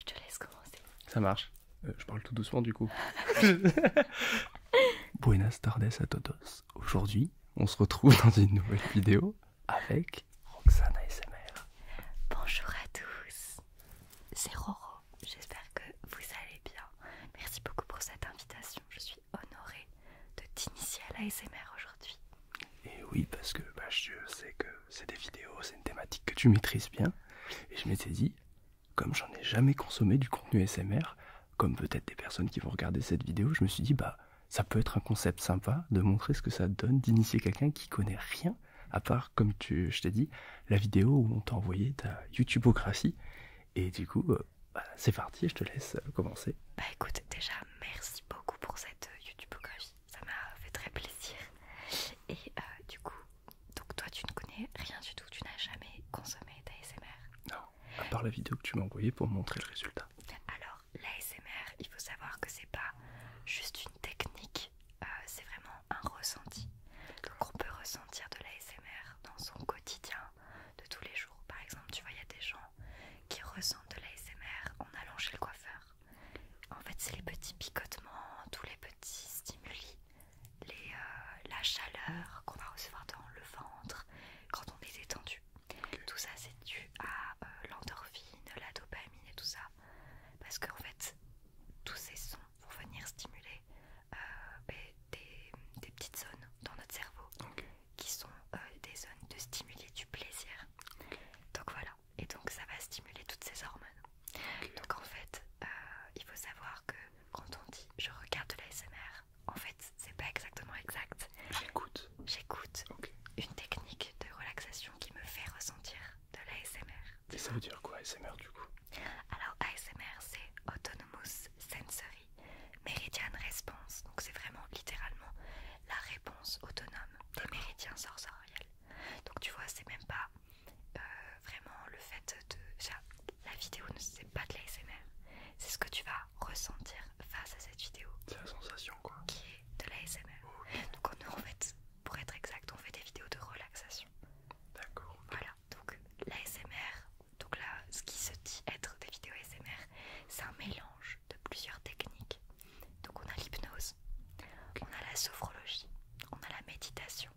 Je te laisse commencer. Ça marche. Euh, je parle tout doucement du coup. Buenas tardes à todos. Aujourd'hui, on se retrouve dans une nouvelle vidéo avec Roxane ASMR. Bonjour à tous. C'est Roro. J'espère que vous allez bien. Merci beaucoup pour cette invitation. Je suis honorée de t'initier à l'ASMR aujourd'hui. Et oui, parce que bah, je sais que c'est des vidéos, c'est une thématique que tu maîtrises bien. Et je m'étais dit, comme j'en ai jamais consommé du contenu SMR, comme peut-être des personnes qui vont regarder cette vidéo, je me suis dit, bah, ça peut être un concept sympa de montrer ce que ça donne d'initier quelqu'un qui connaît rien, à part, comme tu, je t'ai dit, la vidéo où on t'a envoyé ta YouTubeographie. Et du coup, euh, bah, c'est parti, je te laisse euh, commencer. Bah écoute, déjà, merci beaucoup pour cette euh, YouTubeographie, ça m'a fait très plaisir. Et du coup, donc toi tu ne connais rien du tout, tu n'as jamais consommé d'ASMR Non, à part la vidéo que tu m'as envoyée pour montrer le résultat. Alors l'ASMR, il faut savoir que c'est pas juste une technique, euh, c'est vraiment un ressenti. Donc on peut ressentir de l'ASMR dans son quotidien de tous les jours. Par exemple, tu vois, il y a des gens qui ressentent de l'ASMR en allant chez le coiffeur. En fait, c'est les petits picotements, tous les qui euh, la chaleur qu'on va recevoir dans le ventre quand on est détendu. Tout ça c'est dû à euh, l'endorphine, la dopamine et tout ça. Parce qu'en fait, tous ces sons vont venir stimuler euh, ben, des, petites zones dans notre cerveau qui sont des zones de stimuler du plaisir. Donc voilà, et donc ça va stimuler toutes ces hormones. Donc en fait, euh, il faut savoir que quand on dit je regarde de l'ASMR, en fait c'est pas exactement exact. J'écoute. J'écoute une technique de relaxation qui me fait ressentir de l'ASMR. Et ça veut dire quoi ASMR du coup Alors ASMR c'est Autonomous Sensory Meridian Response, donc c'est vraiment littéralement la réponse autonome des méridiens sensoriels. Donc tu vois, c'est même pas euh, vraiment le fait de... la vidéo ne c'est pas de l'ASMR, c'est ce que tu vas ressentir face à cette vidéo. C'est la sensation quoi. Qui est de l'ASMR. Donc nous en fait, pour être exact, on fait des vidéos de relaxation. D'accord. Voilà, donc l'ASMR, donc là ce qui se dit être des vidéos ASMR, c'est un mélange de plusieurs techniques. Donc on a l'hypnose, on a la sophrologie, on a la méditation,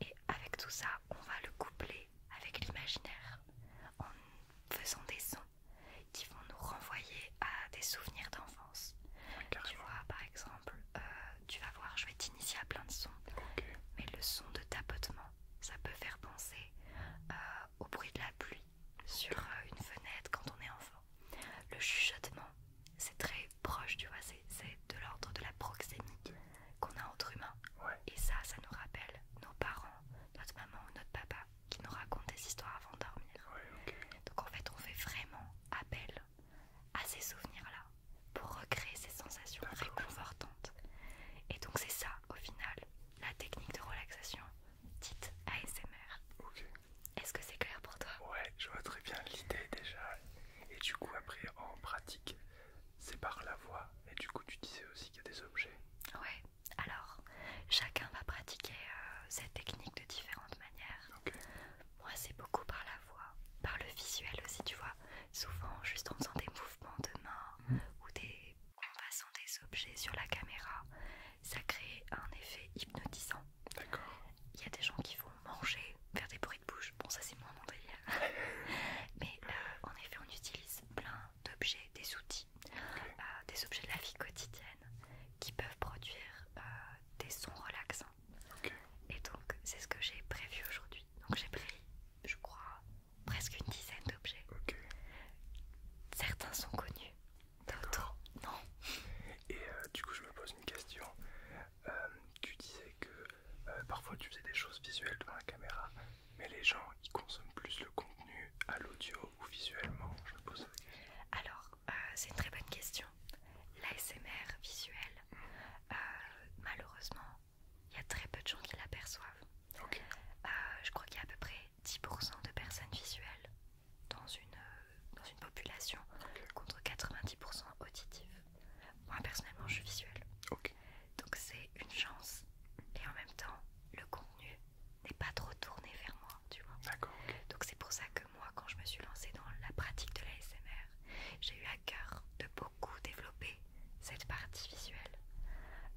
et avec tout ça, on va le coupler avec l'imaginaire en faisant des sons qui vont nous renvoyer à des souvenirs d'enfance. tu vois, par exemple, euh, tu vas voir, je vais t'initier à plein de sons, mais le son de tapotement, ça peut faire penser euh, au bruit de la pluie sur euh, une fenêtre quand on est enfant. Le chuchotement, c'est très proche, tu vois, c'est de l'ordre de la proximité qu'on a entre humains. Et ça, ça nous rappelle nos parents, notre maman ou notre papa qui nous racontent des histoires avant de dormir. Donc en fait, on fait vraiment appel à ces souvenirs-là pour recréer ces sensations réconfortantes. Et donc c'est ça, au final, la technique de relaxation dite ASMR. Est-ce que c'est clair pour toi Ouais, je vois très bien l'idée déjà. Et du coup, après, en pratique, c'est par la voix. Et du coup, tu disais aussi qu'il y a des objets. Ouais, alors chacun va pratiquer euh, cette technique de différentes manières. Moi, c'est beaucoup par la voix, par le visuel aussi, tu vois. Souvent, juste en faisant des mouvements de main mm. ou des, en passant des objets sur la caméra, ça crée un effet hypnotisant. D'accord. Il y a des gens qui vont manger, faire des bruits de bouche Bon, ça c'est moins mon Mais euh, en effet, on utilise plein d'objets, des outils, euh, des objets de la vie quotidienne qui peuvent produire euh, des sons relaxants. Et donc, c'est ce que j'ai prévu aujourd'hui. Donc, j'ai pris, je crois, presque une dizaine d'objets. Certains sont connus, d'autres non. Et du coup, je me pose une question. Euh, tu disais que euh, parfois tu faisais des choses visuelles devant la caméra, mais les gens ils consomment plus le contenu à l'audio ou visuellement Je pose question. Alors, euh, c'est une très bonne question. L'ASMR visuel, malheureusement, il y a très peu de gens qui l'aperçoivent. je crois qu'il y a à peu près 10% de personnes visuelles dans une, population contre 90% auditives. Moi personnellement je suis visuelle. Donc c'est une chance. Et en même temps, le contenu n'est pas trop tourné vers moi, tu vois. Donc c'est pour ça que moi quand je me suis lancée dans la pratique de la l'ASMR, j'ai eu à cœur de beaucoup développer cette partie visuelle.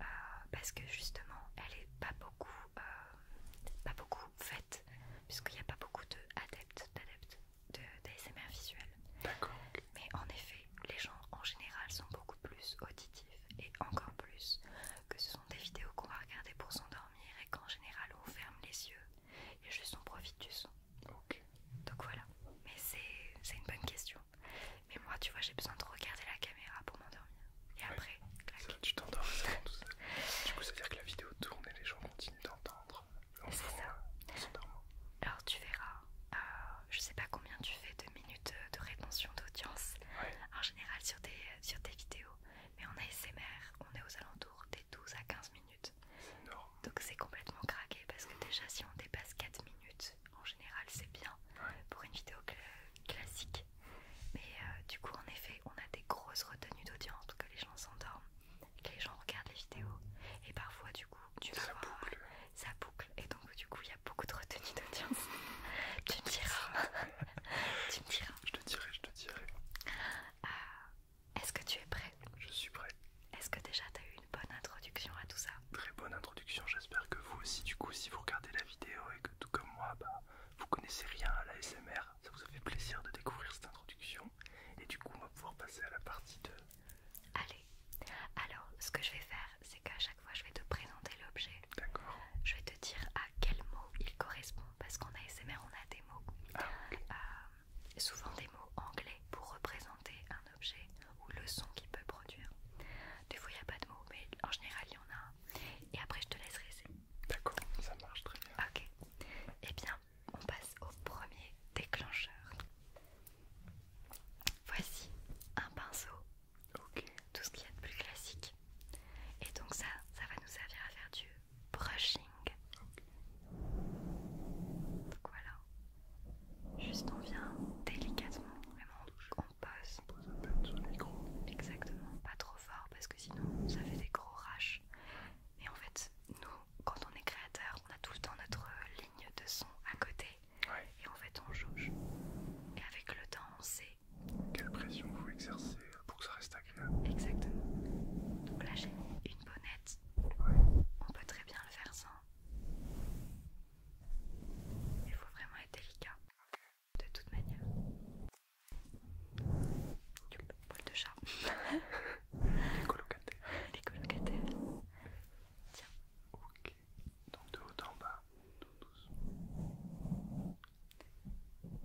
Euh, parce que justement, elle est pas beaucoup, euh, pas beaucoup faite, puisqu'il n'y a pas beaucoup d'adeptes, d'adeptes d'ASMR visuel. D'accord. Mais en effet, les gens en général sont beaucoup plus auditifs et encore plus que ce sont des vidéos qu'on va regarder pour s'endormir et qu'en général on ferme les yeux et juste on profite du son. Donc voilà. Mais c'est une bonne question. Mais moi, tu vois, j'ai besoin de regarder la caméra pour m'endormir. Et après, clac. tu t'endors. du coup, ça veut dire que la vidéo tourne et les gens continuent d'entendre. C'est ça. Euh, Alors tu verras, euh, je sais pas combien tu fais de minutes euh, de rétention d'audience en général sur tes, sur tes vidéos, mais on a ASMR, on est aux alentours des 12 à 15 minutes. Donc c'est complètement craqué parce que déjà si on dépasse 4 minutes, en général c'est bien pour une vidéo classique. Mais du coup en effet on a des grosses retenues d'audience que les gens s'endorment les gens regardent les vidéos et parfois du coup tu vois ça boucle. ça boucle et donc du coup il y a beaucoup de retenue d'audience tu me diras tu me je te dirai je te dirai euh, est-ce que tu es prêt je suis prêt est-ce que déjà tu as eu une bonne introduction à tout ça très bonne introduction j'espère que vous aussi du coup si vous regardez la vidéo et que tout comme moi bah vous connaissez rien à la SMR ça vous a fait plaisir de découvrir cette introduction et du coup on va pouvoir passer à la partie 2. Allez, alors ce que je vais faire, c'est qu'à chaque fois je vais te présenter l'objet. D'accord. Je vais te dire à quel mot il correspond, parce qu'en ASMR on a des mots. Ah, euh, souvent des mots anglais pour représenter un objet ou le son qu'il peut produire. Des fois il n'y a pas de mots, mais en général il y en a Et après je te laisserai essayer. D'accord, ça marche très bien. Ok. Eh bien, on passe au premier déclencheur. Voici un pinceau, tout ce qu'il y a de plus classique. Et donc ça, ça va nous servir à faire du brushing. voilà, juste on vient délicatement, vraiment on On pose Exactement, pas trop fort parce que sinon ça fait des gros raches. Et en fait, nous quand on est créateur, on a tout le temps notre ligne de son à côté et en fait on jauge. Et avec le temps, on sait. Quelle pression vous exercez pour que ça reste agréable Exactement. Donc là, j'ai une bonnette. On peut très bien le faire sans. Il faut vraiment être délicat. De toute manière. Poil de chat. Tiens. Ok. Donc de haut en bas, doucement.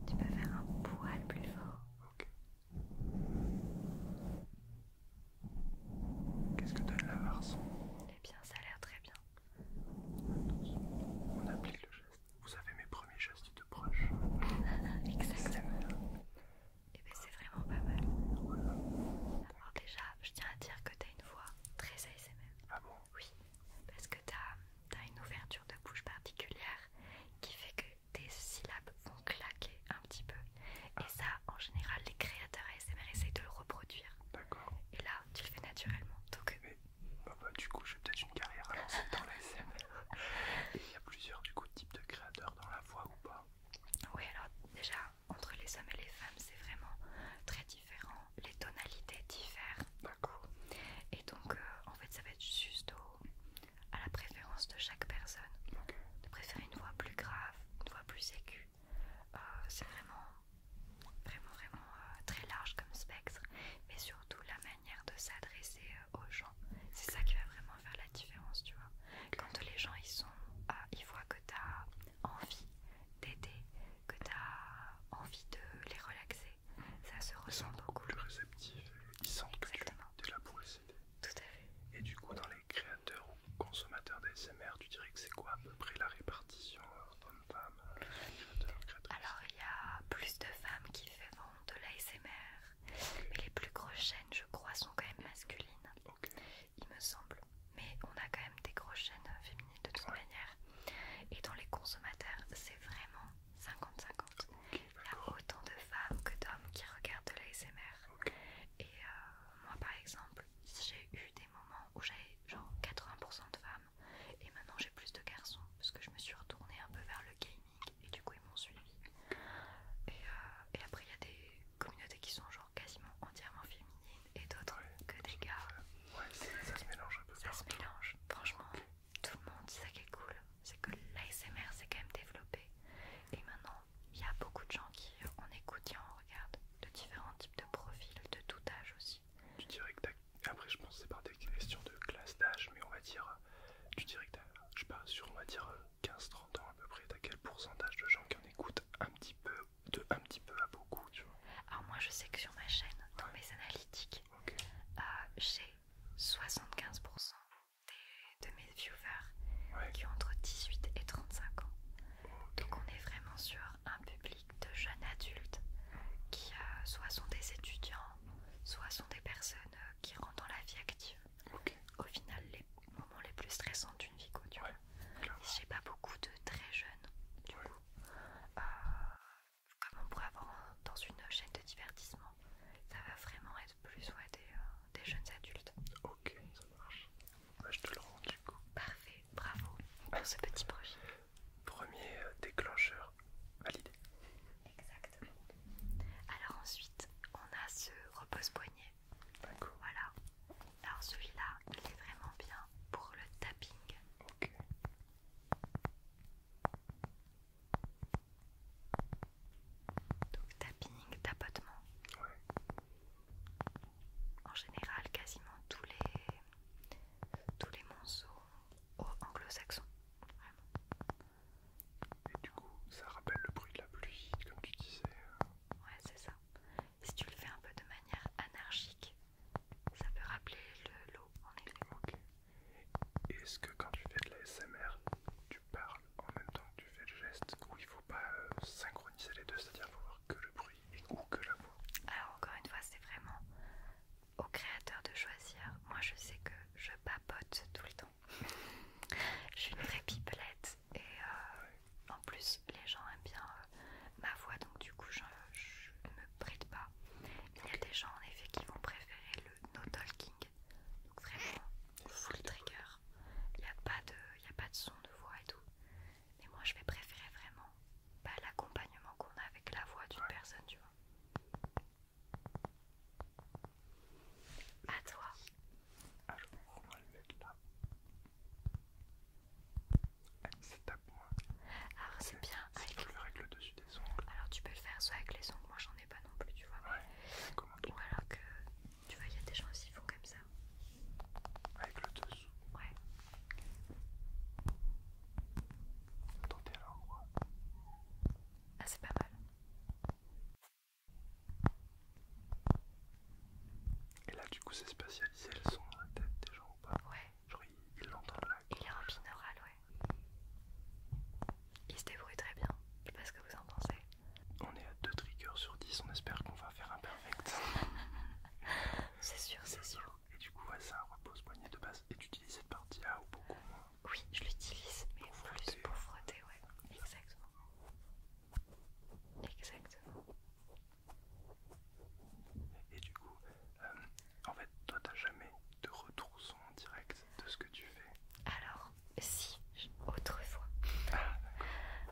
Tu peux faire un poil plus fort. Ok. Qu'est-ce que donne la varson Eh bien, ça a l'air très bien. On applique le geste. Vous avez mes premiers gestes de proche. Exactement et eh bien c'est vraiment pas mal. Alors déjà, je tiens à dire que t'as une voix très ASMR. Ah bon Oui, parce que t'as as une ouverture de bouche particulière qui fait que tes syllabes vont claquer un petit peu. Et ah. ça, en général, les créateurs ASMR essayent de le reproduire. D'accord. Et là, tu le fais naturellement. Donc... Mais, eh ben, bah, bah, du coup, j'ai peut-être une carrière dans l'ASMR. Et il y a plusieurs du coup, types de créateurs dans la voix ou pas Oui, alors déjà, entre les hommes et les femmes, c'est vraiment très différent. Les tonalités diffèrent beaucoup. Et donc, euh, en fait, ça va être juste à la préférence de chaque personne. De préférer une voix plus grave, une voix plus aiguë. Euh, c'est vraiment, vraiment, vraiment euh, très large comme spectre. Mais surtout, la manière de s'adresser aux gens. C'est ça qui va vraiment faire la différence, tu vois. Quand les gens, ils sont... ils voient que que tu as envie d'aider, que tu as envie de les relaxer. Ça se ressent beaucoup. plus réceptifs, euh, ils sentent que tu là pour les Tout à fait. Et du coup, dans les créateurs ou consommateurs d'ASMR, tu dirais que c'est quoi à peu près la répartition homme-femme euh, euh, Alors, il y a plus de femmes qui font de l'ASMR, mais les plus grosses chaînes, je crois, sont quand même masculines il me semble. Mais on a quand même des grosses chaînes féminines de toute manière. Et dans les consommateurs, c'est vraiment 50-50. il y a autant de femmes que d'hommes qui regardent de l'ASMR. Et euh, moi, par exemple, j'ai eu des moments où j'avais genre 80% de femmes. Et maintenant, j'ai plus de garçons parce que je me suis retournée un peu vers le gaming. Et du coup, ils m'ont suivi. Euh, et après, il y a des communautés qui sont genre quasiment entièrement féminine et d'autres que des gars. Ouais, ça se mélange un peu. Ça se mélange. Franchement, tout le monde, ça qui est cool, c'est que l'ASMR s'est quand même développé. Et maintenant, il y a beaucoup de gens qui on euh, écoute et on regarde de différents types de profils, de tout âge aussi. Tu dirais que après je pense c'est par des questions de classe d'âge mais on va dire tu dirais que je sais pas sur on va dire 15-30 ans à peu près, t'as quel pourcentage de gens qui en écoutent un petit peu, de un petit peu à beaucoup, tu vois Alors moi je sais que sur ma chaîne, dans mes analytiques, euh, j'ai 75% de mes viewers qui ont entre 18 et 35 ans. Donc on est vraiment sur un public de jeunes adultes qui euh, soit sont des étudiants, soit sont des personnes euh, qui rentrent dans la vie active. Au final, les moments les plus stressants d'une vie, quoi, j'ai pas beaucoup de très jeunes, du coup. Euh, comme on pourrait avoir dans une chaîne de divertissement, ça va vraiment être plus ouais, des, euh, jeunes adultes. Ok, ça marche. Bah, je te le rends du coup. Parfait, bravo pour ce petit projet. Premier euh, déclencheur validé. Exactement. Alors ensuite, on a ce repose-poignet voilà. Alors celui-là, il est vraiment bien pour le tapping. Donc tapping, tapotement. Ouais. En général, quasiment tous les tous les monceaux anglo-saxons. Et du coup, ça rappelle le bruit de la pluie, comme tu disais. Ouais, c'est ça si tu le fais un peu de manière anarchique, ça peut rappeler le lot en effet. Est-ce que quand tu fais de la SMR, tu parles en même temps que tu fais le geste ou il faut pas euh, synchroniser les deux, c'est-à-dire faut voir que le bruit ou que la voix Alors encore une fois, c'est vraiment au créateur de choisir. Moi, je sais que je papote tout le temps. je suis une vraie pipelette et euh, en plus les gens aiment bien euh, ma voix donc du coup je, ne me prête pas. Il y a des gens en effet qui vont préférer le no talking, donc vraiment full trigger, il n'y a, pas de, a pas de son de voix et tout. Mais moi je vais préférer vraiment bah, l'accompagnement qu'on a avec la voix d'une personne, tu vois. À toi. Ah, je on va le mettre là. C'est c'est moi. Alors c'est bien. Avec... le le dessus des ongles. Alors, tu peux le faire soit avec les ongles, moi j'en ai pas non plus, tu vois. Ouais, Ou alors que tu vois, il y a des gens aussi qui font comme ça. Avec le dessous Ouais. Tentez à l'endroit. Ah, c'est pas mal. Et là, du coup, c'est spatialisé le son dans la tête des gens ou pas Ouais. Genre, il, il l'entend là. Il est en binaural, ouais. Il se débrouille très bien. Je sais pas ce que vous en pensez. On est à 2 triggers sur 10, on espère qu'on va faire un perfect. c'est sûr, c'est sûr. Et du coup, ouais, c'est un repose-poignet de base. Et tu utilises cette partie-là ou beaucoup moins Oui, je l'utilise, mais pour plus pour frotter, ouais. Exactement. Exactement. Et du coup, euh, en fait, toi, t'as jamais de retour son direct de ce que tu fais Alors, si, autrefois. Ah.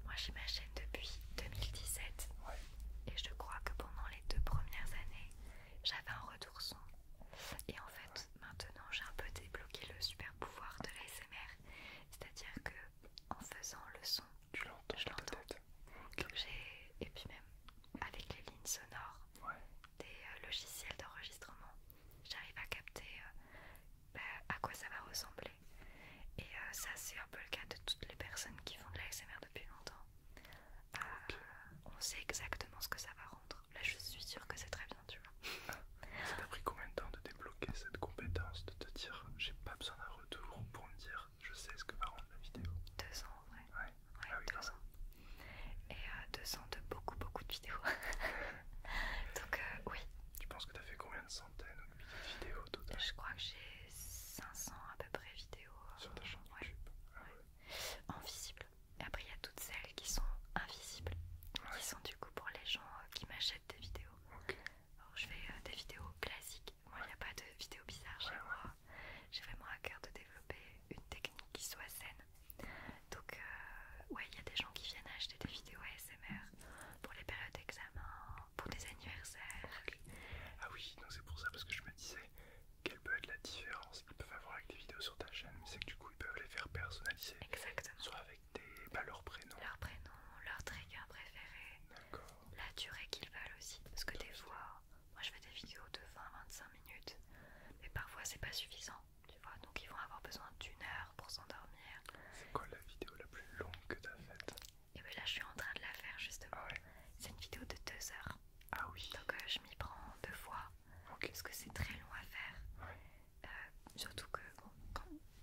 Moi, j'ai ma chaîne depuis 2017. Et je crois que pendant les deux premières années, j'avais un retour son. Et en fait, maintenant, j'ai un peu débloqué le super pouvoir de l'ASMR. C'est-à-dire que en faisant le son tu l'entends Je l'entends. Et puis même avec les lignes sonores des euh, logiciels d'enregistrement, j'arrive à capter euh, bah, à quoi ça va ressembler. Et euh, ça c'est un peu le cas de toutes les personnes qui font de l'ASMR depuis longtemps. Ah, on sait exactement ce que ça va rendre. Là je suis sûre que c'est très bien, tu vois. ça t'a pris combien de temps de débloquer cette compétence, de te dire j'ai pas besoin d'un retour pour me dire je sais ce que va rendre la vidéo. 200 en vrai Ouais, ah oui, 200. Et 200 euh, de beaucoup, beaucoup de vidéos. Donc, euh, oui. Tu penses que t'as fait combien de centaines de vidéos Je crois que j'ai 500 à peu près vidéos. Euh, Sur ta chaîne YouTube En visible. Et après, il y a toutes celles qui sont invisibles, qui sont du coup pour les gens qui m'achètent des vidéos. Alors, je fais des vidéos classiques moi, il n'y a pas de vidéo bizarre chez moi. J'ai vraiment à cœur de développer une technique qui soit saine. Donc, euh, ouais, il y a des gens qui viennent acheter des vidéos ASMR pour les périodes d'examen, pour des anniversaires. Ah oui, c'est pour ça, parce que je me disais quelle peut être la différence qu'ils peuvent avoir avec des vidéos sur ta chaîne, c'est que du coup, ils peuvent les faire personnaliser. Exactement. Soit avec des, bah, leurs prénom. Leur prénom, leur trigger préféré. D'accord la durée qu'ils valent aussi. Parce que des fois, moi je fais des vidéos de 20-25 minutes, mais parfois c'est pas suffisant, tu vois. Donc ils vont avoir besoin d'une heure pour s'endormir. C'est quoi la vidéo la plus longue que as faite Et eh bien là je suis en train de la faire justement. Ah c'est une vidéo de 2 heures. Ah oui. Donc euh, je m'y prends deux fois. quest Parce que c'est très long à faire. Euh, surtout que,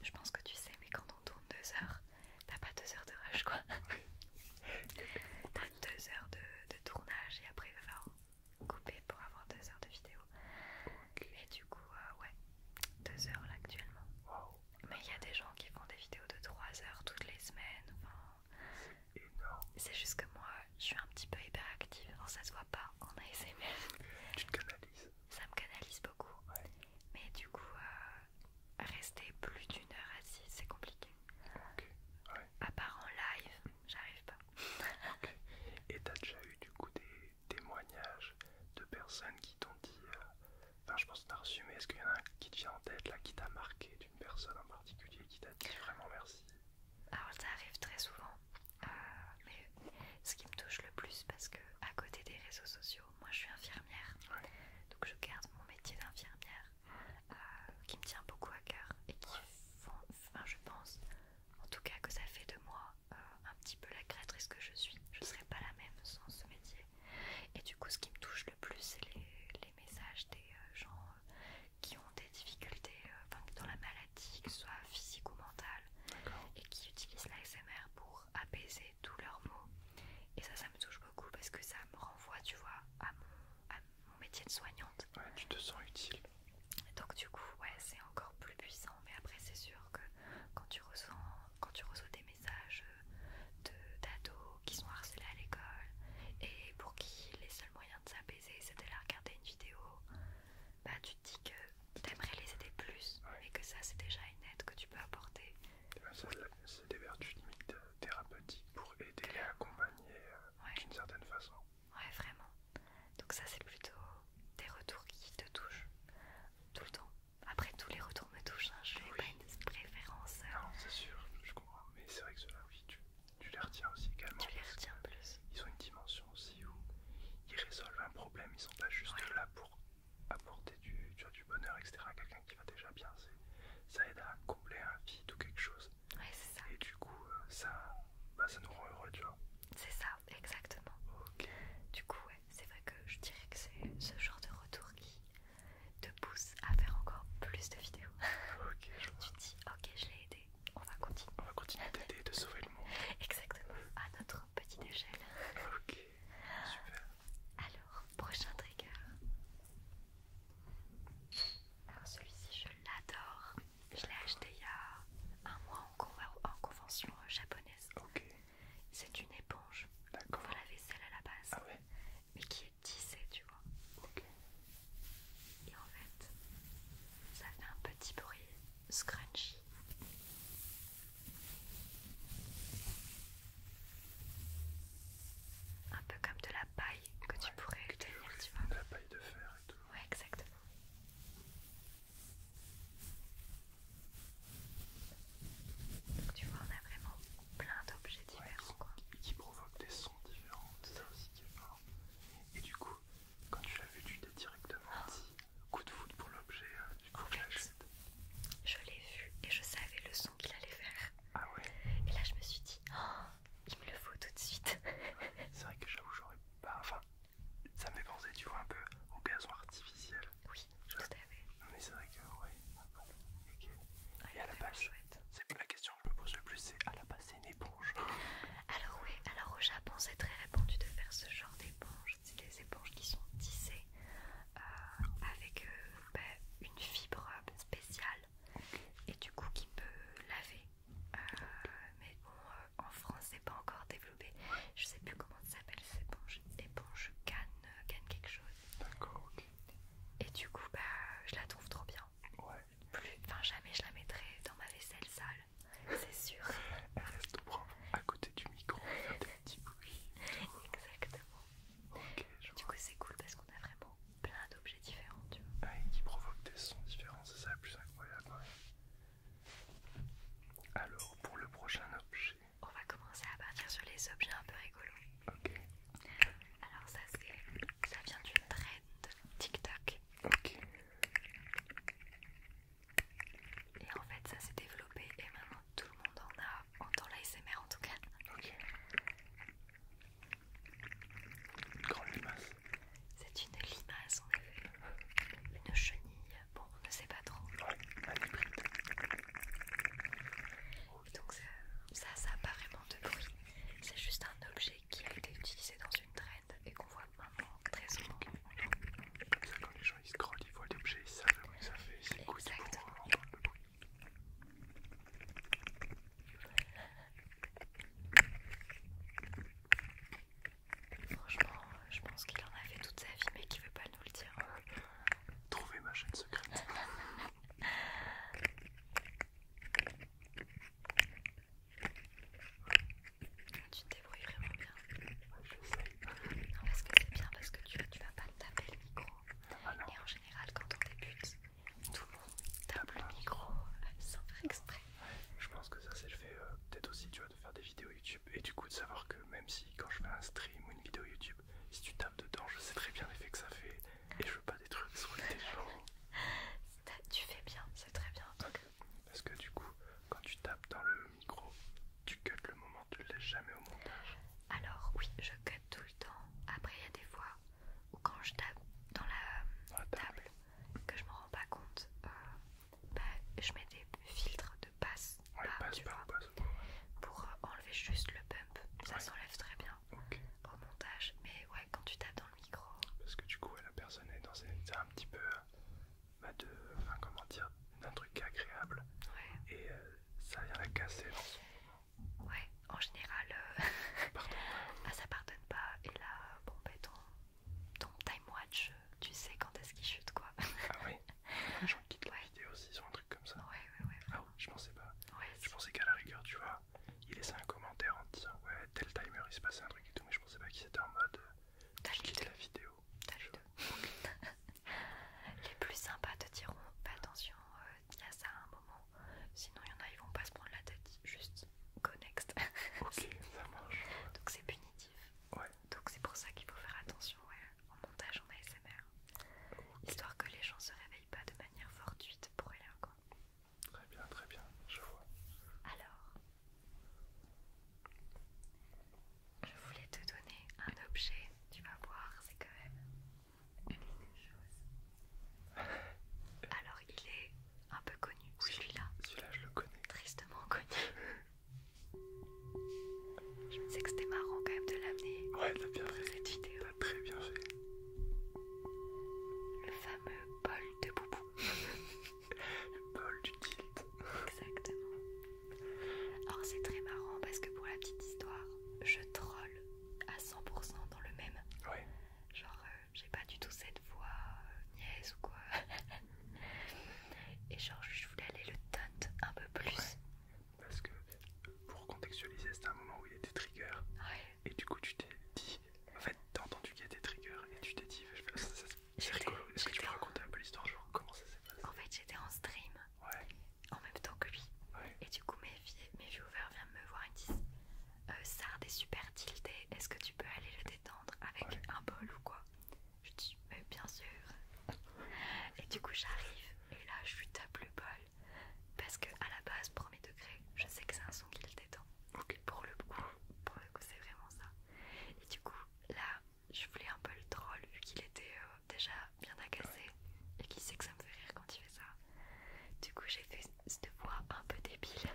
je pense que tu sais, mais quand on tourne deux heures, t'as pas deux heures de rush quoi. t'as deux heures de, tournage et après il va falloir couper pour avoir deux heures de vidéo. Et du coup, euh, ouais, deux heures là actuellement. Mais il y a des gens qui font des vidéos de 3 heures toutes les semaines. c'est juste que moi, je suis un petit peu hyperactive. Alors ça se voit pas en ASMR. Tu te Ça me canalise beaucoup. Mais du coup, euh, rester plus d'une heure assise, c'est compliqué. OK. Ouais. À part en live, j'arrive pas. Ok. Et t'as déjà eu du coup des témoignages de personnes qui t'ont dit, euh, enfin je pense que t'as est-ce qu'il y en a un qui te vient en tête là, qui t'a marqué d'une personne en particulier qui t'a dit vraiment merci Alors ça arrive très souvent, euh, mais ce qui me touche le plus parce que à côté des réseaux sociaux, moi, je suis infirmière, donc je garde mon métier d'infirmière euh, qui me tient beaucoup à cœur et qui font, enfin, je pense, en tout cas, que ça fait de moi euh, un petit peu la créatrice que je suis. Je serais pas la même sans ce métier. Et du coup, ce qui me touche le plus, c'est les, messages des euh, gens qui ont des difficultés Enfin dans la maladie, que ce soit physique ou mentale, et qui utilisent l'ASMR pour apaiser tous leurs maux. Et ça, ça me touche parce que ça me renvoie, tu vois, à mon, métier de soignante. tu te sens utile. Donc du coup, ouais, c'est encore plus puissant. Mais après, c'est sûr que quand tu reçois, quand tu reçois des messages euh, d'ados qui sont harcelés à l'école et pour qui les seuls moyens de s'apaiser, c'est de regarder une vidéo, bah tu te dis que t'aimerais les aider plus et que ça, c'est déjà une aide que tu peux apporter. C'est des vertus limites euh, thérapeutiques pour aider et accompagner euh, d'une certaine façon. Ouais, vraiment. Donc, ça, c'est plutôt des retours qui te touchent tout le temps. Après, tous les retours me touchent, hein. je n'ai pas une préférence. Euh. c'est sûr, je comprends. Mais c'est vrai que cela, oui, tu, les retiens aussi Tu les retiens plus. Ils ont une dimension aussi où ils résolvent un problème, ils sont pas juste là pour apporter du, bonheur, etc. à quelqu'un qui va déjà bien, ça aide à combler un vide ou quelque chose. Et du coup, euh, ça, bah, ça nous rend heureux, tu vois. C'est ça, exactement. ok Du coup, ouais, c'est vrai que je dirais que c'est ce genre de retour qui te pousse à faire encore plus de vidéos. Ok, je Tu dis, ok, je l'ai aidé, on va continuer. On va continuer d'aider, de sauver le monde. Exactement, à notre petite échelle. Ok, super. Alors, prochain trigger. Alors celui-ci, je l'adore. Je l'ai acheté il y a un mois en, convention japonaise. C'est une éponge pour la vaisselle à la base, ah mais qui est tissée, tu vois. Et en fait, ça fait un petit bruit scrunchy. Un peu comme de la paille que tu pourrais tenir, tu vois. De la paille de fer et tout. Ouais, exactement. Donc tu vois, on a vraiment plein d'objets différents, quoi. Qui provoquent des sons différents, c'est ça aussi qui est Et du coup, quand tu l'as vu, tu t'es directement oh. dit coup de foot pour l'objet, euh, du coup, je l'ai vu et je savais le son qu'il allait faire. Ah ouais. Et là, je me suis dit, oh, il me le faut tout de suite. C'est vrai que j'avoue, j'aurais pas. Enfin, ça me fait penser, tu vois, un peu au gazon artificiel. Oui, je tout à fait. Mais c'est vrai que, ouais. Okay. ok. Et à la ah, base, c'est la question que je me pose le plus c'est à la base, c'est une éponge. Alors, oui, alors au Japon, c'est très répandu de faire ce genre d'éponge. C'est des éponges qui sont tissées euh, avec euh, bah, une fibre spécial et du coup qui peut laver. Euh, mais bon, euh, en France, c'est pas encore développé. Je sais plus comment ça s'appelle, c'est éponge, éponge canne, euh, canne quelque chose. D'accord, ok. Et du coup, bah, je la trouve trop bien. Ouais. enfin, jamais je la mettrai dans ma vaisselle sale, c'est sûr. Elle reste propre à côté du micro, Exactement du coup, c'est cool parce qu'on a vraiment plein d'objets différents, tu vois. Ah, et qui provoquent des sons différents, c'est ça le plus incroyable. Alors, pour le prochain objet, on va commencer à partir sur les objets un peu rigolos. Ok. Alors, ça, ça vient d'une trend TikTok. Ok. Et en fait, ça s'est développé et maintenant tout le monde en a, en temps l'ASMR en tout cas. Ok. Une grande limace. C'est une limace en effet. Une chenille, bon on ne sait pas trop. Ouais, un est Et donc ça, ça n'a pas vraiment de bruit. C'est juste un objet qui a été utilisé dans une traîne et qu'on voit maintenant très souvent. Comme ça quand les gens ils scrollent, ils voient l'objet, ils savent où ça fait, ils écoutent pour euh, Franchement, je pense qu'il en a fait toute sa vie, mais qu'il veut pas nous le dire. Trouvez ma chaîne secrète. tu te débrouilles vraiment bien. Non, parce que c'est bien parce que tu, tu vas pas taper le micro. Ah et en général, quand on débute, tout le monde tape le micro euh, sans faire exprès. Je pense que ça c'est le fait euh, peut-être aussi de faire des vidéos YouTube et du coup de savoir que même si quand je fais un stream ou une vidéo YouTube, si tu tapes dedans, je sais très bien l'effet que ça fait et je veux pas des trucs sur les gens. tu fais bien, c'est très bien. Parce que du coup, quand tu tapes dans le micro, tu cutes le moment, tu le laisses jamais au montage. Alors oui, je cut tout le temps. Après il y a des fois ou quand je tape dans la, table. que je me rends pas compte, euh, bah, je mets des filtres de passe, ah, pour euh, enlever juste le bump. Ça s'enlève très bien au montage, mais ouais, quand tu tapes dans le micro. Parce que du coup, la personne est dans un petit peu euh, bah, de, comment dire, d'un truc agréable et ça vient la casser dans son Ouais, en général, euh, ah, ça pardonne pas. Et là, bon, ben, ton, time watch, tu sais quand est-ce qu'il chute quoi. ah oui, j'en quitte la vidéo s'ils ont un truc comme ça. Ouais, ouais, ouais. Ah je pensais pas. je pensais qu'à la rigueur, tu vois, il laissait un commentaire en disant ouais, tel timer il se passait un truc et tout, mais je pensais pas qu'il était en mode euh, la vidéo. T'as les plus sympas te diront, attention, euh, il y a ça à un moment Sinon, il y en a, ils vont pas se prendre la tête, juste go ok, ça marche. Donc, c'est punitif. Donc, c'est pour ça qu'il faut faire attention en montage en ASMR. Histoire que les gens se réveillent pas de manière fortuite pour rien, quoi. Très bien, très bien, je vois. Alors, je voulais te donner un objet, tu vas voir, c'est quand même alors, il est un peu connu, celui-là. Celui-là, je le connais. Tristement connu. je me disais que c'était marrant quand même de l'amener ouais, a bien fait. cette vidéo. a très bien fait. Le fameux bol de boubou. le bol du tilt. Exactement. Alors, c'est très marrant parce que pour la petite histoire, je troll à 100% dans le même. Genre, euh, j'ai pas du tout cette voix euh, niaise ou quoi. Et genre, je voulais aller le taunt un peu plus. Parce que pour contextualiser, c'était un moment où il y a des triggers. Et du coup, tu t'es dit. En fait, t'as entendu qu'il y a des triggers et tu t'es dit, c'est rigolo. Est-ce que tu peux raconter un peu l'histoire Genre, comment ça s'est passé En fait, j'étais en stream. Ouais. En même temps que lui. Ouais. Et du coup, mes filles mes viewers viennent me voir et disent euh, Sard est super tilté, est-ce que tu peux aller le détendre avec un bol ou quoi Je dis bien sûr Et du coup j'arrive et là je lui tape le bol parce que à la base, premier degré, je sais que c'est un son qui le détend. Pour le coup, pour c'est vraiment ça. Et du coup là je voulais un peu le troll vu qu'il était euh, déjà bien agacé et qu'il sait que ça me fait rire quand il fait ça. Du coup, j'ai fait cette voix un peu débile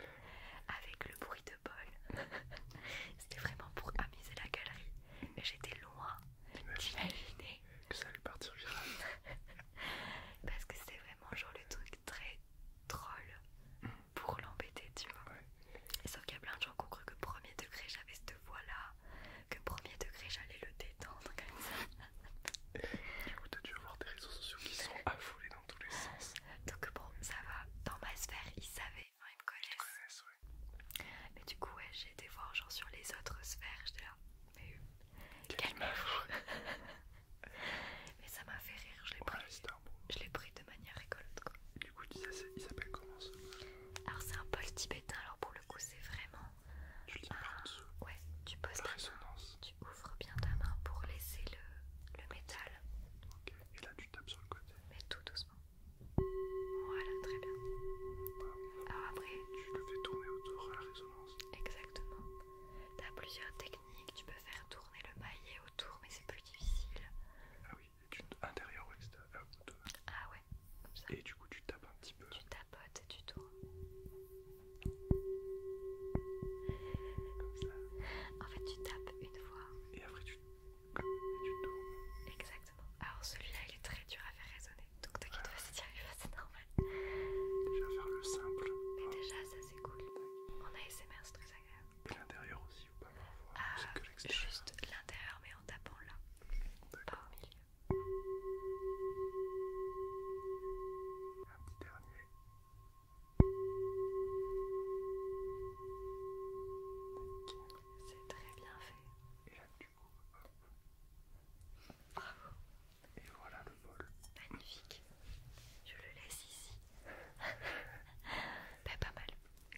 avec le bruit de bol. C'était vraiment pour amuser la galerie. Mais j'étais loin d'imaginer que ça allait partir Parce que c'était vraiment genre le truc très troll pour l'embêter, tu vois. Sauf qu'il y a plein de gens qui ont cru que premier degré j'avais cette voix là, que premier degré j'allais le détendre comme ça. Du coup, t'as dû avoir des réseaux sociaux qui sont affolés dans tous les sens. Donc, bon, ça va. Dans ma sphère, ils savaient, ils me connaissent. Mais du coup, ouais, j'ai été voir genre sur les autres sphères. J'étais là, mais euh, calmez fou. mais ça m'a fait rire. Je l'ai Je pris, pris de manière rigolote. Quoi. du coup, il s'appelle comment ça Alors, c'est un pôle tibétain. Alors, pour le coup, c'est vraiment tu le ouais, tu poses la résonance tu ouvres bien ta main pour laisser le, le métal. Ok, et là tu tapes sur le côté. Mais tout doucement. Voilà, très bien. après, tu le fais tourner autour à la résonance. Exactement. T'as plusieurs techniques, tu peux faire tourner le maillet autour, mais c'est plus difficile. Ah oui, tu intérieur ou Ah ouais, comme ça. Et du coup, tu tapes un petit peu. Tu tapes comme ça. En fait, tu tapes une fois. Et après, tu, tournes. Exactement. Alors, celui-là, il est très dur à faire résonner. Donc, t'inquiète pas si tu arrives c'est normal. vais faire le simple. Mais déjà, ça c'est cool. a ASMR, c'est très agréable. Et l'intérieur aussi, ou pas ah, Juste l'intérieur, mais en tapant là. Pas au milieu un petit dernier. C'est très bien fait. Et là, du coup, hop. Bravo. Et voilà le bol. Magnifique. Je le laisse ici. ben, pas mal.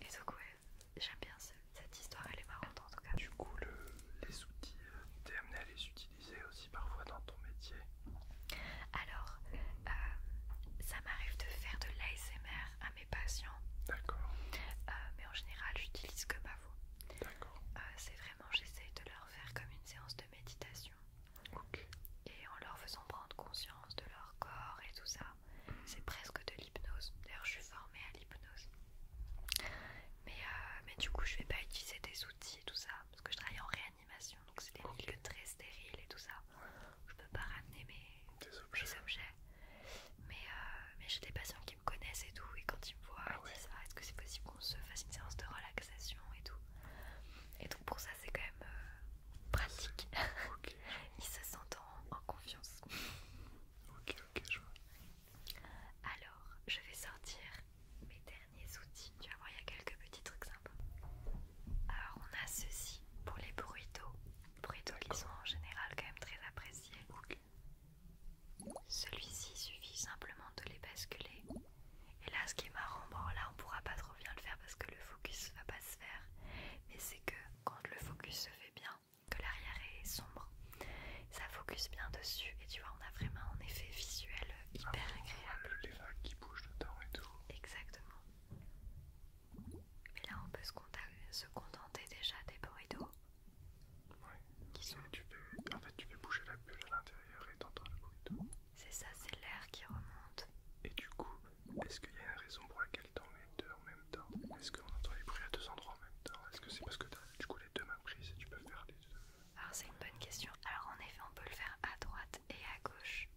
Et donc, ouais, j'aime bien cette histoire, elle est marrante en tout cas. Du coup, les outils, euh, t'es à les utiliser aussi parfois dans ton métier Alors, euh, ça m'arrive de faire de l'ASMR à mes patients. Euh, mais en général, j'utilise que ma voix. Euh, c'est vraiment, j'essaye de leur faire comme une séance de méditation. Et en leur faisant prendre conscience de leur corps et tout ça. C'est presque de l'hypnose. D'ailleurs, je suis formée à l'hypnose. Mais, mais du coup, je vais pas utiliser des outils et tout ça parce que je travaille en réalité donc c'est des lieux très stériles et tout ça. Je peux pas ramener mes, objets. Euh, mais, j'ai des patients qui me connaissent et tout, et quand ils me voient, ah ils disent ah, est-ce que c'est possible qu'on se fasse une séance de relaxation et tout. Et donc pour ça, c'est quand même euh, pratique. ils se sentent en, confiance. Ok, ok, je vois. Alors, je vais sortir mes derniers outils. Tu vas voir, il y a quelques petits trucs sympas. Alors, on a ceci pour les bruitots. d'eau. ils sont en général quand même très appréciés. Celui-ci suffit simplement de les basculer. Et là, ce qui est marrant, bon là on pourra pas trop bien le faire parce que le focus va pas se faire. Mais c'est que quand le focus se fait bien, que l'arrière est sombre, ça focus bien dessus. Et tu vois, on a vraiment un effet visuel hyper agréable. les vagues qui bougent dedans et tout. Exactement. Mais là, on peut se, contenter déjà des bruits d'eau. Ouais. Qui sont... tu peux En fait, tu peux bouger la bulle à l'intérieur et t'entends le bruit d'eau. C'est ça, c'est l'air qui remonte. Et du coup, est-ce qu'il y a une raison pour laquelle t'en mets deux en même temps Est-ce qu'on entend les bruits à deux endroits en même temps Est-ce que c'est parce que du coup les deux mains prises et tu peux faire les deux alors c'est une bonne question. Alors en effet on peut le faire à droite et à gauche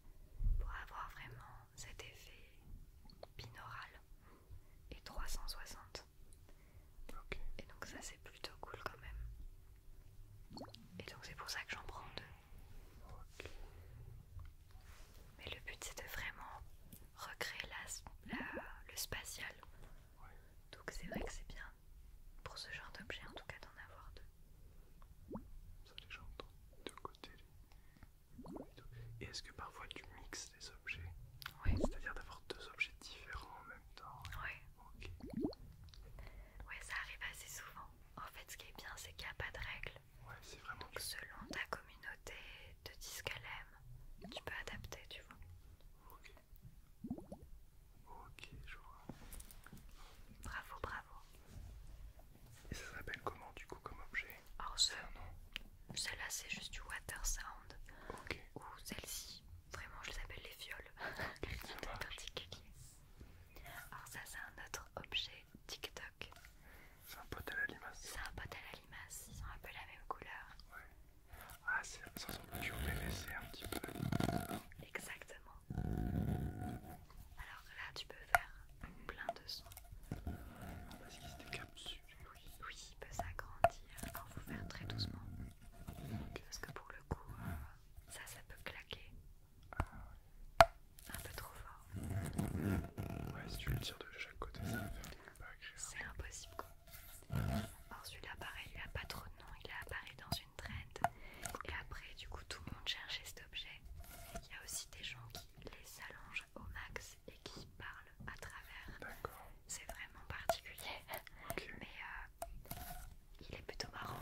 pour avoir vraiment cet effet binaural et 360. Et donc ça c'est plutôt cool quand même. Et donc c'est pour ça que j'en prends deux. Mais le but c'est de vraiment recréer le spatial. Donc c'est vrai que c'est bien pour ce genre d'objet en tout cas d'en avoir deux. Ça les gens de côté. Et est-ce que parfois tu mixes les objets Oui. C'est-à-dire d'avoir deux objets différents en même temps Oui. Ok. Oui, ça arrive assez souvent. En fait, ce qui est bien, c'est qu'il n'y a pas de règles. c'est vraiment. Donc, selon ta communauté de disques tu peux adapter, tu vois. Ok. Ok, je vois. Bravo, bravo. Et ça s'appelle comment du coup comme objet Alors Non. celle-là c'est juste du water sound. Ok. Ou celle-ci, vraiment je les appelle les fioles. Okay, particulier. Alors ça c'est un autre objet TikTok. C'est un pot à la limace. C'est un pot à la limace, ils sont un peu la même couleur. Ouais. Ah ça ressemble du PVC un petit peu. Exactement. Alors là, tu peux faire plein de sons. Parce qu'il se oui. Oui, il peut s'agrandir. Alors, vous faire très doucement. Parce que pour le coup, euh, ça, ça peut claquer. Un peu trop fort. Ouais, si tu le tires de chaque côté, ça va faire des peu C'est impossible, quoi. Or, celui-là, pareil, il a pas trop de nom. Il a apparu dans une une Et après, du coup, tout le monde cherchait cet objet. Il y a aussi des gens qui les allongent au max et qui parlent à travers. C'est vraiment particulier. Mais euh, il est plutôt marrant.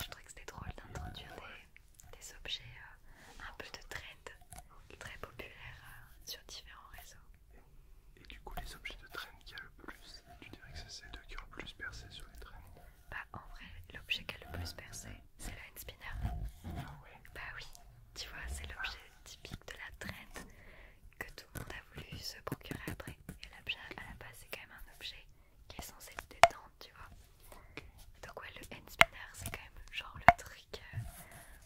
Je trouvais que c'était drôle d'introduire des, objets euh, un peu de trend très populaire euh, sur différents réseaux. Et, du coup, les objets de trend qu'il y a le plus, tu dirais que c'est deux qui ont le plus percé sur les trends bah en vrai, l'objet qui a le plus percé, c'est la handspinner. Ah ouais Bah oui, tu vois, c'est l'objet typique de la traite que tout le monde a voulu se procurer après. Et l'objet à la base, c'est quand même un objet qui est censé le détendre, tu vois. Donc ouais, le handspinner, c'est quand même genre le truc... Euh,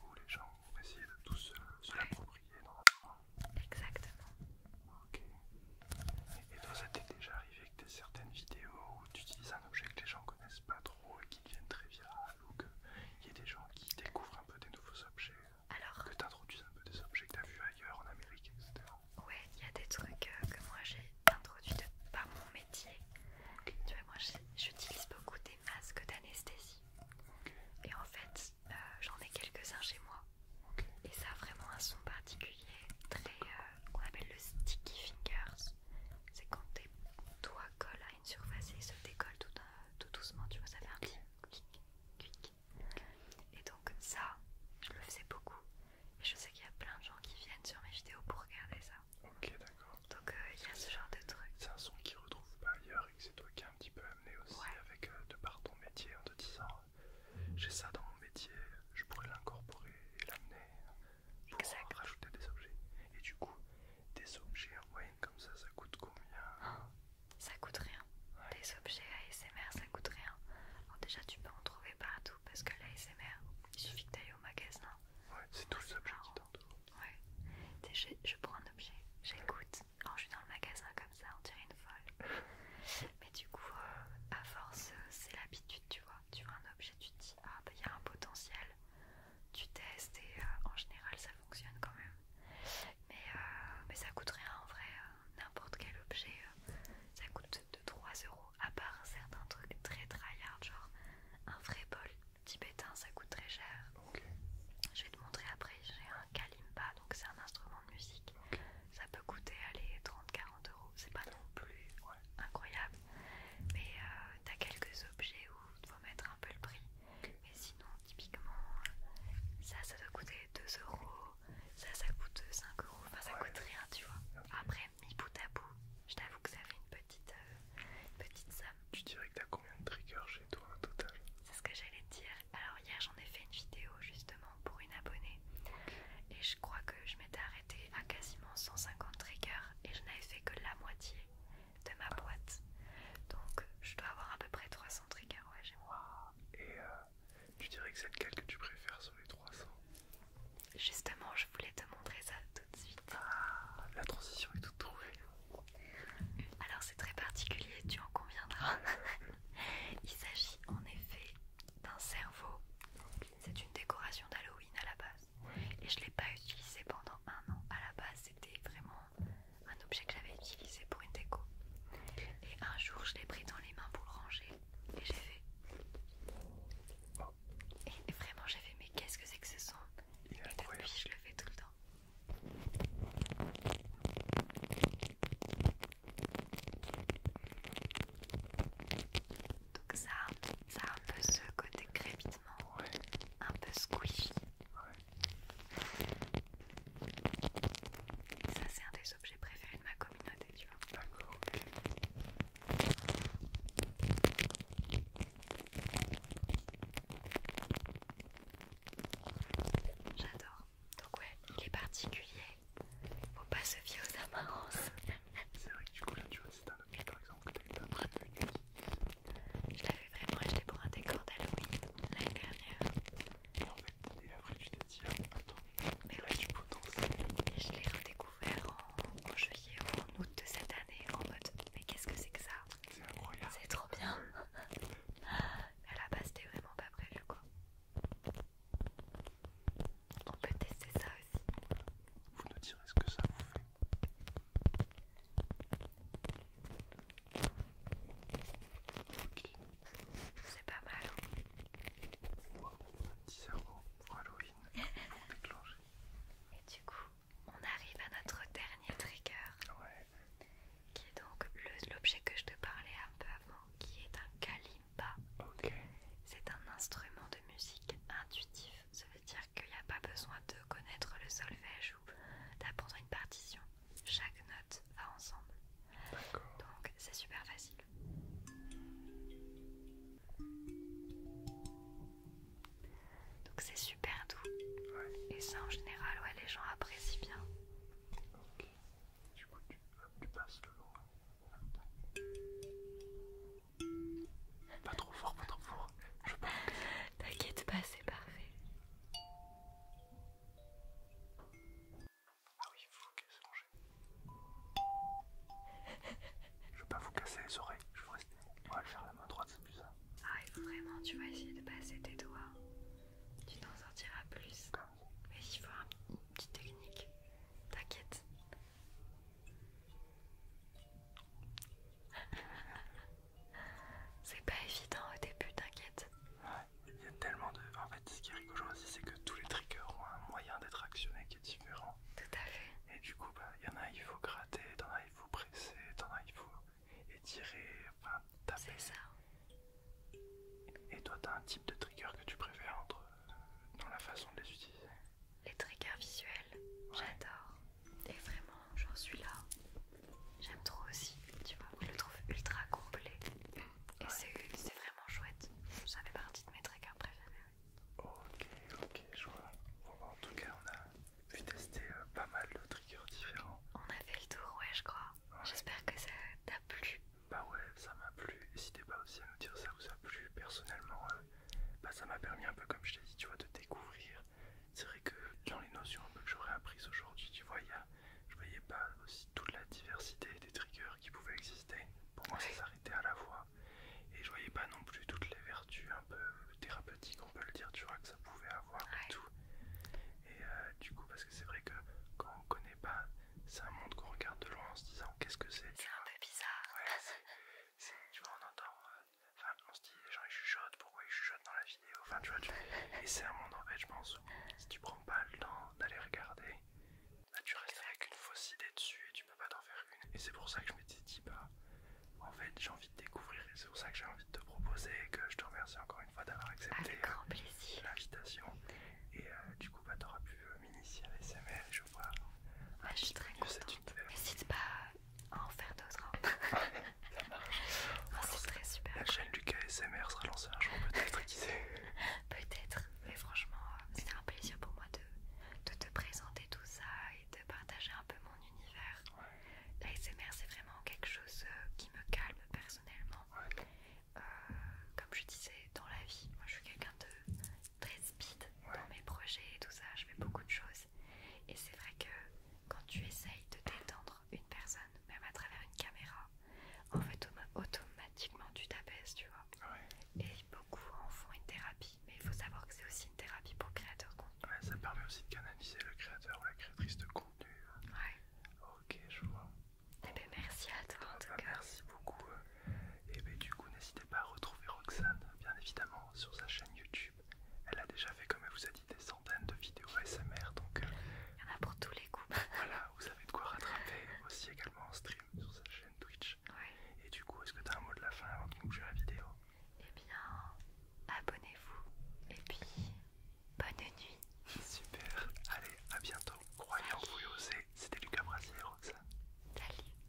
Où les gens vont essayer de tout se, l'approprier dans la Exactement. Ok. Et toi, ça t'est déjà arrivé que tu certaines vidéos où tu utilises un objet que les gens connaissent pas trop et qui deviennent très virales ou il y a des gens qui découvrent un peu des nouveaux objets Alors Que tu introduises un peu des objets que tu as vus ailleurs, en Amérique, etc. Ouais, il y a des trucs euh, que moi j'ai introduits de par mon métier. Tu vois, moi j'utilise beaucoup des masques d'anesthésie. Et en fait, euh, j'en ai quelques-uns chez moi. Et ça a vraiment un son particulier, très euh, qu'on appelle le sticky fingers. C'est quand tes doigts collent à une surface et ils se décollent tout, euh, doucement, tu vois, ça fait un petit clic, clic. Et donc ça, je le faisais beaucoup. Et je sais qu'il y a plein de gens qui viennent sur mes vidéos pour regarder ça. Ok, d'accord. Donc euh, il y a ce genre de truc. C'est un son qui retrouvent pas ailleurs et c'est toi qui as un petit peu amené aussi avec de par ton métier en te disant j'ai ça dans mon métier, je pourrais l'incorporer et l'amener pour rajouter des objets. Et du coup, des objets en moyenne comme ça, ça coûte combien Ça coûte rien. Des objets ASMR, ça coûte rien. Alors déjà, tu peux en trouver partout parce que l'ASMR, il suffit que tu ailles au magasin. Ouais, c'est tous les objets qui t'entourent. Ouais. Je, je prends un objet, j'écoute. alors je suis dans le magasin comme ça, on dirait une folle. Et du coup, euh, à force, euh, c'est l'habitude, tu vois. Tu vois un objet, tu te dis, ah bah il y a un potentiel. Tu testes et euh, en général, ça fonctionne quand même. Mais, mais ça coûte rien en vrai, n'importe quel objet, ça coûte de 3 euros. À part certains trucs très try-hard, genre un vrai bol tibétain, ça coûte très cher. Je vais te montrer après, j'ai un kalimba, donc c'est un instrument de musique. Ça peut coûter allez 30-40 euros, c'est pas non plus incroyable. Mais euh, t'as quelques objets où tu faut mettre un peu le prix. Mais sinon, typiquement, euh, ça, ça doit coûter 2 euros, ça, ça coûte 5 euros, enfin, ça coûte rien, tu vois. Après, mi bout à bout, je t'avoue que ça fait une petite, euh, petite somme. Tu dirais que t'as combien de triggers chez toi en total C'est ce que j'allais te dire. Alors, hier, j'en ai fait une vidéo justement pour une abonnée et je crois que je m'étais arrêtée à quasiment 150 triggers et je n'avais fait que la moitié de ma boîte donc je dois avoir à peu près 300 triggers ouais j'ai et euh, tu dirais que c'est lequel que tu préfères sur les 300 justement je voulais te montrer ça tout de suite ah, la transition est toute trouvée alors c'est très particulier tu en conviendras il s'agit en effet d'un cerveau c'est une décoration d'Halloween à la base. Et je ne l'ai pas utilisée pendant un an. À la base, c'était vraiment un objet que j'avais utilisé pour une déco. Et un jour, je l'ai pris dans les mains pour le ranger. Et j'ai fait. Et vraiment, j'ai fait mais qu'est-ce que c'est que ce son Et je le fais tout le temps. Donc ça, ça a un peu ce côté crépitement, un peu squishy. Ça c'est un des objets préférés de ma communauté, tu vois. J'adore. Donc ouais, il est particulier. Faut pas se fier aux apparences. C'est vrai que du coup là tu vois c'est un objet par exemple que t'as pas vu. Je l'avais vraiment acheté pour un décor d'Halloween l'année dernière. Et en fait, et après tu t'es dit ah, attends, mais là oui. suis potentiel. Et je l'ai redécouvert en, juillet ou en août de cette année en mode mais qu'est-ce que c'est que ça C'est incroyable. C'est trop bien. à la base t'es vraiment pas prévu quoi. On peut tester ça aussi. Vous nous direz ce que ça vous fait. Ok. C'est pas mal. wow, un petit cerveau pour Halloween Et du coup, on arrive à notre dernier trigger. Ouais. Qui est donc l'objet que je te parlais un peu avant, qui est un câlin. C'est un instrument de musique intuitif. Ça veut dire qu'il n'y a pas besoin de connaître le solfège ou d'apprendre une partition. Chaque note va ensemble. Donc c'est super facile. Donc c'est super doux. Et ça en général, les gens apprécient bien. Du coup, passes le long. Pas trop fort, pas trop fort. Je T'inquiète pas, c'est parfait. Ah oui, faut il vous ça manger. Je vais pas vous casser les oreilles, je vais faire la main droite, c'est plus ça. Ah il faut vraiment, tu vas essayer de passer tes doigts. Tu t'en sortiras plus. Mais il faut une petite technique. T'inquiète. c'est pas évident au début, t'inquiète. Ouais, il y a tellement de. En fait, ce qui est rigolo c'est que tous les triggers ont un moyen d'être actionné qui est différent. Tout à fait. Et du coup, bah, il y en a, il faut gratter, en as, il faut presser, en as, il faut étirer, enfin, taper. C'est ça. Et toi, tu as un type de trigger que tu préfères euh, dans la façon de les utiliser les triggers visuels, j'adore. Et vraiment, j'en suis là. J'aime trop aussi, tu vois. Je le trouve ultra complet. Et c'est vraiment chouette. Ça fait partie de mes triggers préférés. Ok, ok, je vois. Bah, en tout cas, on a pu tester euh, pas mal de triggers différents. On a fait le tour, ouais, je crois. J'espère que ça t'a plu. Bah ouais, ça m'a plu. N'hésitez pas aussi à nous dire ça vous a plu. Personnellement, euh, bah, ça m'a permis un peu, comme je t'ai dit, tu vois, de découvrir. C'est vrai que dans les notions un peu que j'aurais apprises aujourd'hui, tu vois, y a, je voyais pas aussi toute la diversité des triggers qui pouvaient exister. Pour moi, ça s'arrêtait à la voix. Et je voyais pas non plus toutes les vertus un peu thérapeutiques, on peut le dire, tu vois, que ça pouvait avoir et tout. Et euh, du coup, parce que c'est vrai que quand on connaît pas, c'est un monde qu'on regarde de loin en se disant qu'est-ce que c'est. C'est un peu bizarre tu vois, on entend, euh, enfin, on se dit, les gens ils chuchotent, pourquoi ils chuchotent dans la vidéo, enfin, tu vois, tu... et c'est un monde en fait, je pense, si tu prends pas le temps d'aller regarder, bah, tu restes avec une fausse idée dessus et tu peux pas t'en faire une. Et c'est pour ça que je m'étais dit, bah, en fait, j'ai envie de découvrir et c'est pour ça que j'ai envie de te proposer que je te remercie encore une fois d'avoir accepté euh, l'invitation. Et euh, du coup, bah, t'auras pu m'initier à l'ESML. Ah, je suis très contente. N'hésite pas à en faire d'autres. La chaîne du KSMR sera lancée un jour, peut-être, Peut-être, mais franchement, c'est un plaisir pour moi de, te présenter tout ça et de partager un peu mon univers. L'ASMR, c'est vraiment quelque chose euh, qui me calme personnellement. Euh, comme je disais, dans la vie, moi je suis quelqu'un de très speed dans mes projets et tout ça, je fais beaucoup de choses. Et c'est vrai que quand tu essayes de détendre une personne, même à travers une caméra, en fait automatiquement tu t'apaises, tu vois. Ah et beaucoup en font une thérapie, mais il faut savoir que c'est aussi une thérapie pour créateur contenu. ça permet aussi de canaliser le créateur ou la créatrice de contenu. Ok, je vois. Et eh ben, merci à toi en ah tout bah, cas. Merci beaucoup. Euh, et eh bien, du coup, n'hésitez pas à retrouver Roxane, bien évidemment, sur sa chaîne YouTube. Elle a déjà fait, comme elle vous a dit, des centaines de vidéos ASMR, donc... Euh, Il y en a pour tous les coups. voilà, vous avez de quoi rattraper aussi également en stream sur sa chaîne Twitch. Et du coup, est-ce que tu as un mot de la fin avant de bouger la vidéo Eh bien, abonnez-vous et puis bonne nuit. Super, allez, à bientôt. Croyez en vous et osez, c'était Lucas Brasier et Roxane. Salut.